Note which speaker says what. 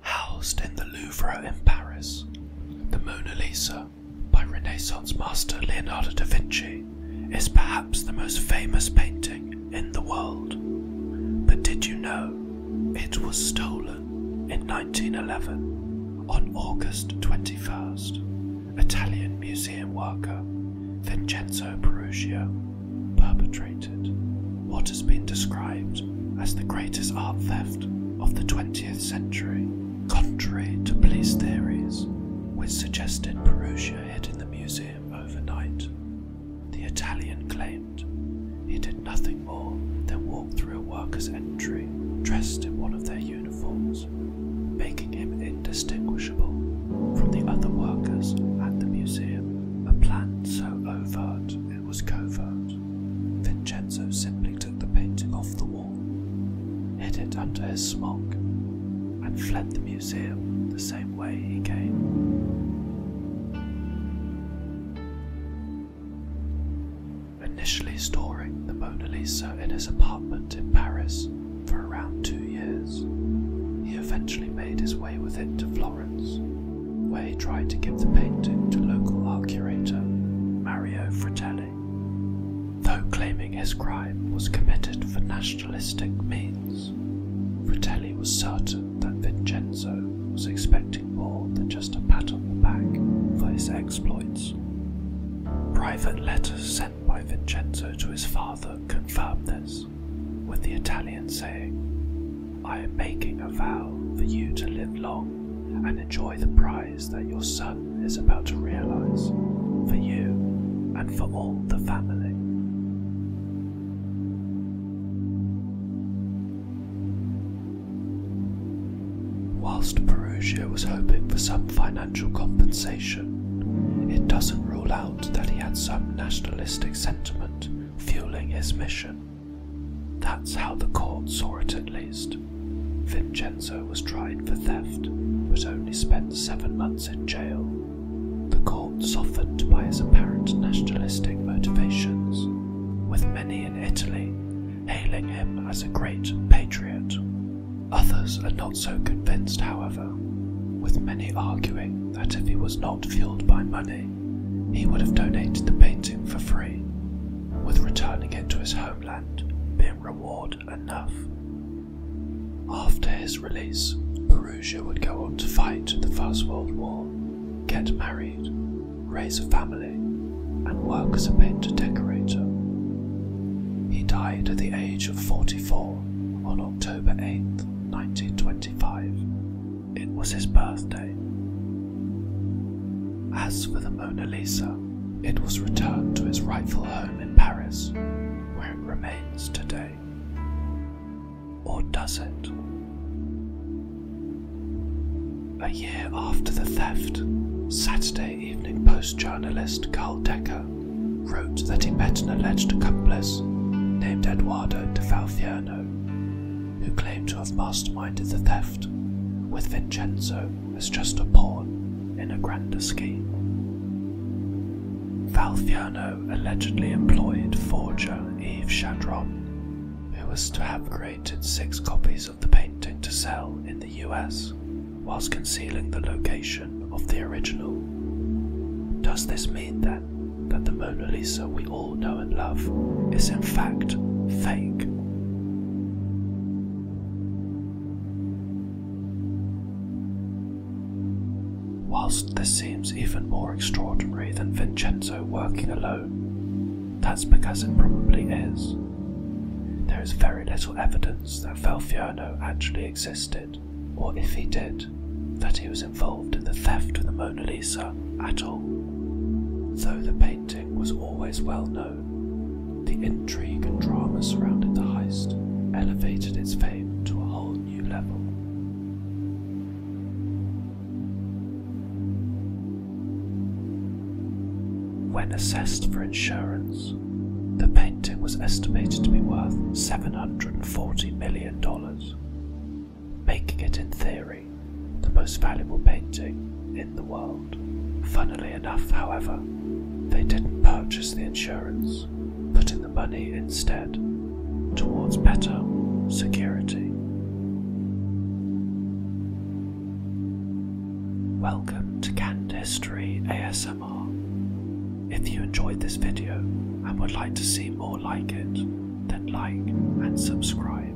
Speaker 1: Housed in the Louvre in Paris, the Mona Lisa by Renaissance master Leonardo da Vinci is perhaps the most famous painting in the world. But did you know it was stolen in 1911 on August 21st? Italian museum worker Vincenzo Perugia perpetrated what has been described as the greatest art theft of the 20th century. Contrary to police theories, which suggested Perugia hid in the museum overnight, the Italian claimed he did nothing more than walk through a worker's entry dressed in one of their uniforms, making him indistinguishable from the other workers at the museum, a plan so overt it was covert. Vincenzo simply took the painting off the wall, hid it under his smock, and fled the museum the same way he came. Initially storing the Mona Lisa in his apartment in Paris, for around two years. He eventually made his way with it to Florence, where he tried to give the painting to local art curator Mario Fratelli. Though claiming his crime was committed for nationalistic means, Fratelli was certain that Vincenzo was expecting more than just a pat on the back for his exploits. Private letters by Vincenzo to his father confirmed this, with the Italian saying, I am making a vow for you to live long and enjoy the prize that your son is about to realize, for you and for all the family. Whilst Perugia was hoping for some financial compensation, it doesn't rule out that he had some nationalistic sentiment fueling his mission. That's how the court saw it at least. Vincenzo was tried for theft, but only spent seven months in jail. The court softened by his apparent nationalistic motivations, with many in Italy hailing him as a great patriot. Others are not so convinced, however, with many arguing that if he was not fueled by money, he would have donated the painting for free, with returning it to his homeland being reward enough. After his release, Perugia would go on to fight in the First World War, get married, raise a family, and work as a painter decorator. He died at the age of 44 on October eighth, 1925. It was his birthday. As for the Mona Lisa, it was returned to its rightful home in Paris, where it remains today. Or does it? A year after the theft, Saturday Evening Post journalist Carl Decker wrote that he met an alleged accomplice named Eduardo de Falciano, who claimed to have masterminded the theft, with Vincenzo as just a pawn in a grander scheme. Falciano allegedly employed forger Eve Shadron who was to have created six copies of the painting to sell in the US whilst concealing the location of the original. Does this mean then that the Mona Lisa we all know and love is in fact fake? Whilst this seems even more extraordinary than Vincenzo working alone, that's because it probably is. There is very little evidence that Falfiano actually existed, or if he did, that he was involved in the theft of the Mona Lisa at all. Though the painting was always well known, the intrigue and drama surrounding the heist elevated its fame to a whole new level. When assessed for insurance, the painting was estimated to be worth $740 million, making it, in theory, the most valuable painting in the world. Funnily enough, however, they didn't purchase the insurance, but the money instead towards better security. Welcome to Canned History ASMR. If you enjoyed this video and would like to see more like it, then like and subscribe.